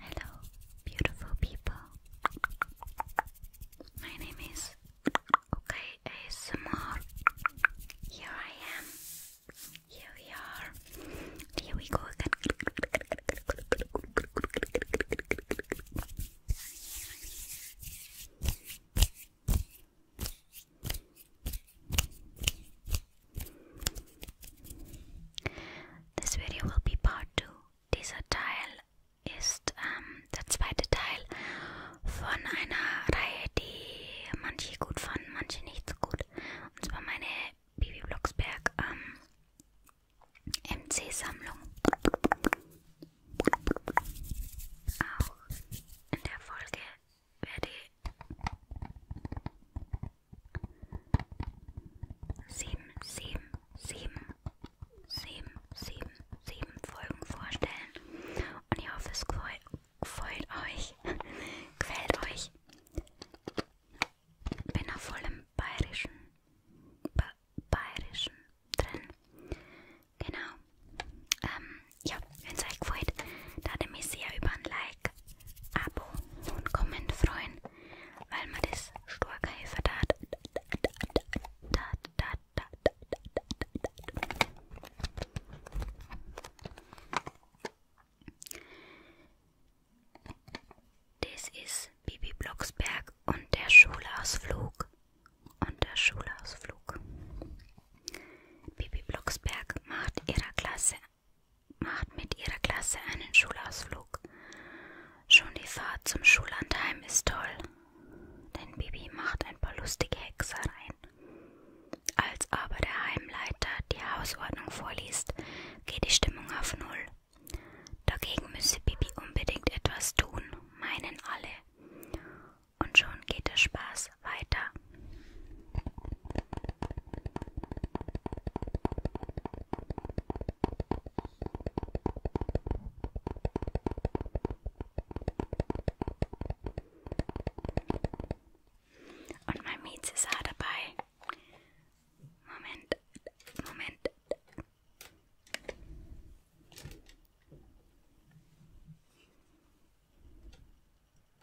Hello, beautiful people. My name is Okay ASMR. Here I am. Here we are. Here we go again. This video will be part 2. Dieser Teil ist ähm, der zweite Teil von einer Reihe, die manche gut fanden, manche nicht so gut. Und zwar meine Bibi Blocksberg ähm, MC-Sammlung. Auch in der Folge werde sieben, sieben, sieben, sieben, sieben, sieben Folgen vorstellen. Und ich hoffe, es gefällt euch. Gefällt euch. Bin auf vollem bayerischen, ba bayerischen drin. Genau. Ähm, ja, wenn es euch gefällt, da würde mich sehr über ein Like, Abo und Comment freuen, weil mir das stark helfen hat. Das ist Bibi Blocksberg und der Schulausflug. Und der Schulausflug. Bibi Blocksberg macht ihrer Klasse macht mit ihrer Klasse einen Schulausflug. Schon die Fahrt zum Schullandheim ist toll, denn Bibi macht ein paar lustige Hexereien. Als aber der Heimleiter die Hausordnung vorliest, geht die Stimmung auf Null. Dagegen müsse Bibi unbedingt etwas tun, meinen alle. Und schon geht der Spaß es weiter. Und mein Mieze sah dabei. Moment, Moment.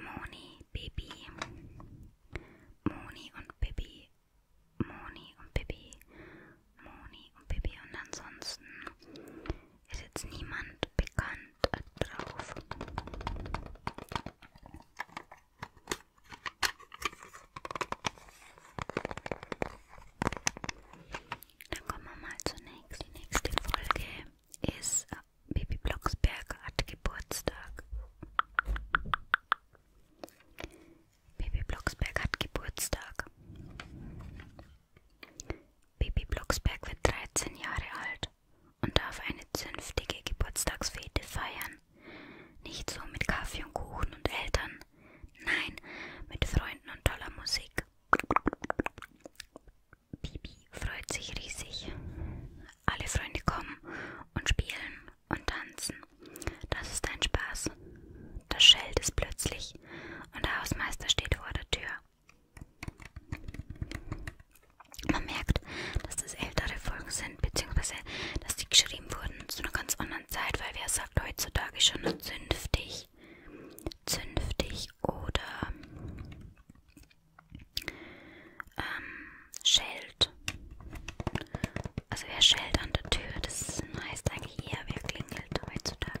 Moni, Baby, Moni und Baby, Moni und Baby, Moni und Baby und ansonsten ist jetzt niemand bekannt drauf. Dann kommen wir mal zur nächsten. Die nächste Folge ist Baby Blocksberg hat Geburtstag. Baby Blocksberg hat Geburtstag. Baby Blocksberg wird 13 Jahre alt und darf eine zünftige Geburtstagsfete feiern. Nicht so mit Kaffee und Kuchen und Eltern. Nein, mit Freunden und toller Musik. Bibi freut sich riesig. Alle Freunde kommen und spielen und tanzen. Das ist ein Spaß. Das schellt es plötzlich und der Hausmeister steht vor der Tür. Man merkt, dass das ältere Folgen sind, beziehungsweise dass die geschrieben wurden zu einer ganz anderen Zeit, weil wer sagt heutzutage schon zünftig, zünftig oder ähm, Scheld. Also wer schält an der Tür, das heißt eigentlich eher, wer klingelt heutzutage.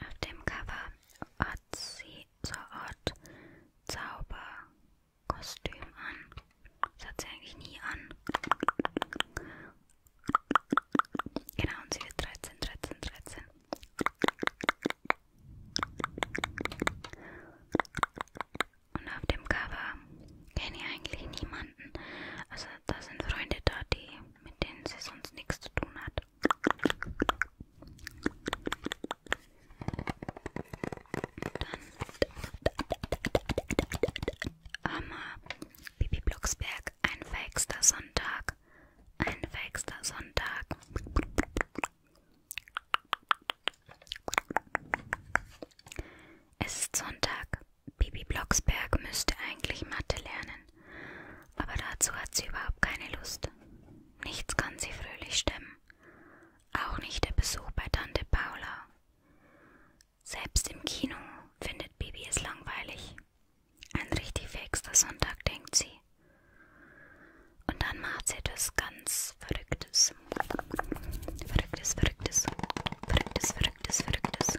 Auf dem Cover hat sie so Art Zauberkostüm an. Das hat sie eigentlich nie an. Genau, und sie wird 13, 13, 13. Und auf dem Cover kenne ich eigentlich niemanden. Also da sind Freunde da, die, mit denen sie sonst nichts zu tun hat. Dann Hammer, Bibi Blocksberg, ein verhexter Sonntag, ein verhexter Sonntag. Es ist Sonntag, Bibi Blocksberg müsste eigentlich Mathe lernen, aber dazu hat sie überhaupt keine Lust. Nichts kann sie fröhlich stemmen, auch nicht der Besuch bei Tante Paula. Selbst im Kino findet Bibi es langweilig. Ein richtig fixer Sonntag, denkt sie. Und dann macht sie etwas ganz Verrücktes. Verrücktes, Verrücktes, Verrücktes, Verrücktes, Verrücktes.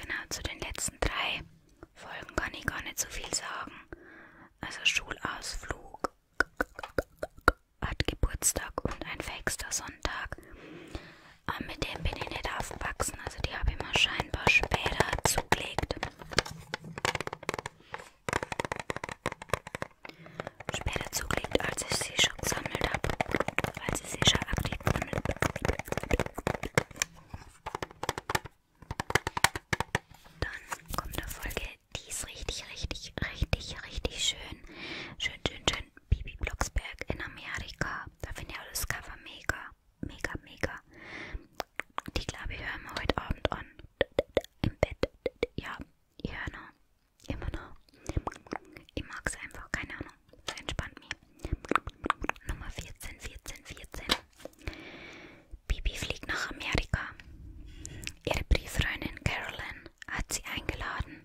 Genau, zu den letzten drei Folgen kann ich gar nicht so viel sagen. Also Schulausflug hat Geburtstag und ein fähigster Sonntag. Aber ah, mit dem bin ich nicht aufgewachsen. Also die habe ich mir scheinbar später zugelegt. Später zugelegt, als ich sie schon gesammelt habe. Als ich sie schon aktiv gesammelt Dann kommt eine Folge, die ist richtig, richtig, richtig, richtig schön. Schön, schön, schön. Bibi Blocksberg in Amerika. Da finde ich auch das Cover mega. Mega, mega. Die glaube ich hören wir heute Abend an. Im Bett. Ja, ich höre noch. Immer noch. Ich mag es einfach, keine Ahnung. Das entspannt mich. Nummer 14, 14, 14. Bibi fliegt nach Amerika. Ihre Brieffreundin Carolyn hat sie eingeladen.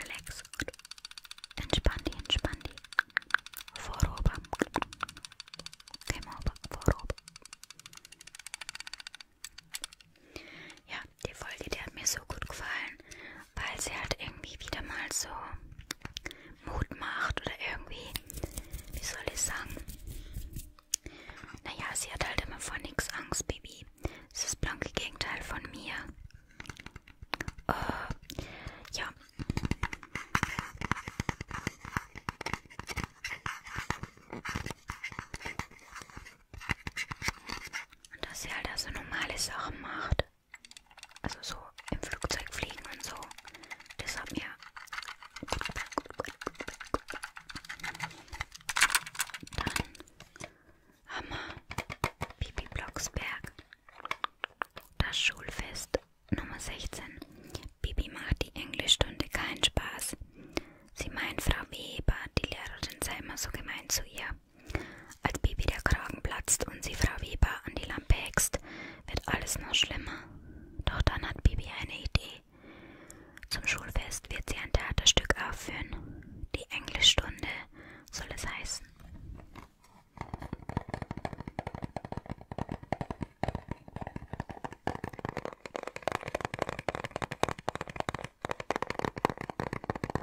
Relax. Entspann die, entspann die. Vorüber. Käme vorüber. Ja, die Folge, die hat mir so gut gefallen weil sie halt irgendwie wieder mal so Mut macht oder irgendwie, wie soll ich sagen? Naja, sie hat halt immer vor nichts Angst, Baby. Das ist das blanke Gegenteil von mir. Uh, ja. Und dass sie halt also normale Sachen macht. Also so im Flugzeug fliegen und so. Das hat mir gut gefallen. Dann haben wir Bibi Blocksberg. Das Schulfest Nummer 16. Bibi macht die Englischstunde keinen Spaß. Sie meint Frau Weber, die Lehrerin sei immer so gemein zu ihr. Als Bibi der Kragen platzt und sie Frau Weber an die Lampe hext, wird alles noch schlimmer. Doch dann hat Bibi eine Idee. Zum Schulfest wird sie ein Theaterstück aufführen. Die Englischstunde soll es heißen.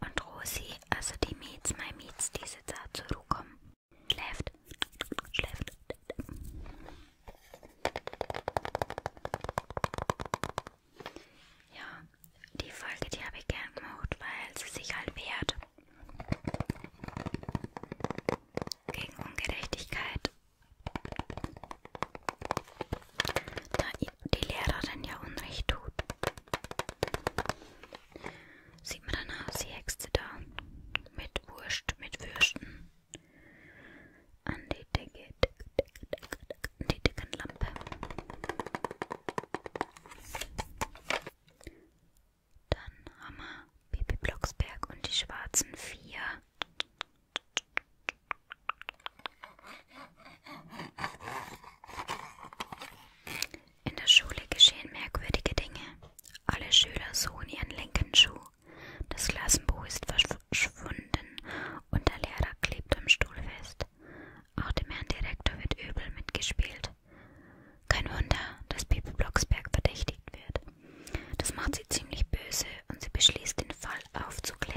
Und Rosi, also die Miets, mein Miets, die sitzt da zur Ruhe kommen. Schläft, schläft. Ja, die Folge, die habe ich gern gemacht, weil sie sich halt wehrt gegen Ungerechtigkeit. Da die Lehrerin ja Unrecht tut. Sieht man dann aus, die Hexe da. Mit Wurst, mit Würsten. An die Decke, Decke, Decke, Decke, die Deckenlampe. Dann haben wir Bibi Blocksberg und die schwarzen vier. In der Schule geschehen merkwürdige Dinge. Alle Schüler suchen ihren linken Schuh. Das Klassenbuch ist verschwunden und der Lehrer klebt am Stuhl fest. Auch dem Herrn Direktor wird übel mitgespielt. Kein Wunder, dass Bibi Blocksberg verdächtigt wird. Das macht sie ziemlich böse und sie beschließt, den Fall aufzuklären.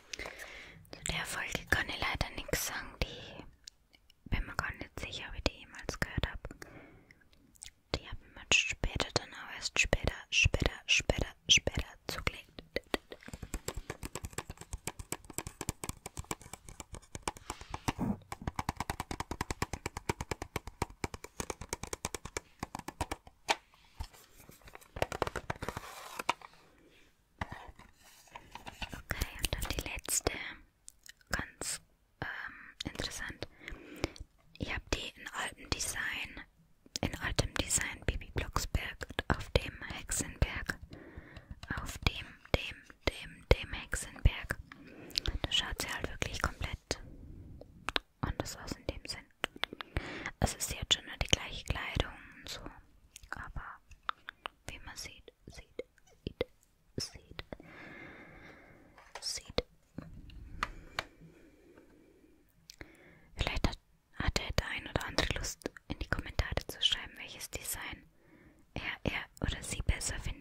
Zu der Folge kann ich leider nichts sagen, die bin mir gar nicht sicher, ob ich die jemals gehört habe. Die habe ich mir später dann auch erst später, später, später, später zugelegt. Okay, und dann die letzte. Ganz ähm, interessant. Ich habe die in altem Design, in altem Design Bibi Blocksberg auf dem Hexenberg. Auf dem, dem, dem, dem Hexenberg. Da schaut sie halt wirklich komplett anders aus in dem Sinn. Also sie hat schon nur die gleiche Kleidung und so. Aber wie man sieht, sieht, sieht, sieht, sieht. Vielleicht hat, hatte der ein oder andere Lust, in die Kommentare zu schreiben, welches Design er, er oder sie besser findet.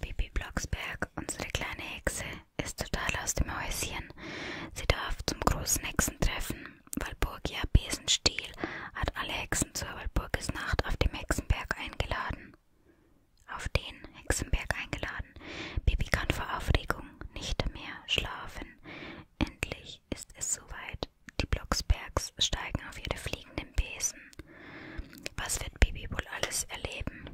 Bibi Blocksberg, unsere kleine Hexe, ist total aus dem Häuschen. Sie darf zum großen Hexentreffen. Walburgia Besenstiel hat alle Hexen zur Walburgisnacht auf dem Hexenberg eingeladen. Auf den Hexenberg eingeladen. Bibi kann vor Aufregung nicht mehr schlafen. Endlich ist es soweit. Die Blocksbergs steigen auf ihre fliegenden Besen. Was wird Bibi wohl alles erleben?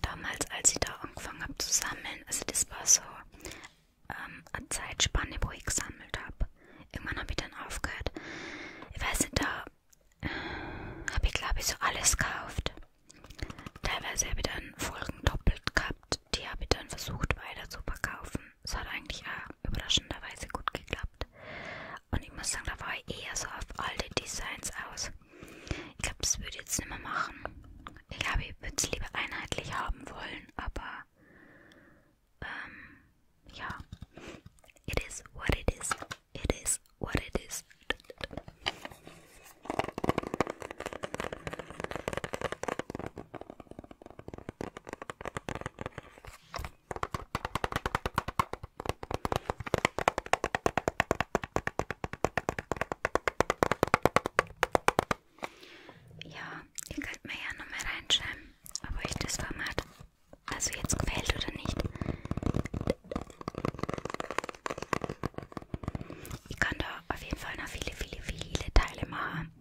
Damals, als ich da angefangen habe zu sammeln, also das war so ähm, eine Zeitspanne, wo ich gesammelt habe. Irgendwann habe ich dann aufgehört. Ich weiß nicht, da äh, habe ich glaube ich so alles gekauft. Teilweise habe ich dann Folgen doppelt gehabt, die habe ich dann versucht weiter zu verkaufen. Das hat eigentlich auch überraschenderweise gut geklappt. Und ich muss sagen, da war ich eher so auf alte Designs aus. Ich glaube, das würde ich jetzt nicht mehr machen. Ich glaube, ich würde es lieber einheitlich haben wollen, aber ähm, ja. It is what it is. It is what it is. Ja, ihr könnt mir ja nochmal reinschreiben, ob euch das Format also jetzt gefällt oder nicht. Ich kann da auf jeden Fall noch viele, viele, viele Teile machen.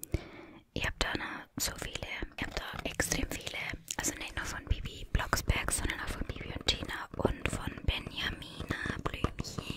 Ich habe da noch so viele. Ich habe da extrem viele, also nicht nur von Bibi Blocksberg, sondern auch von Bibi und Tina und von Benjamina Blümchen.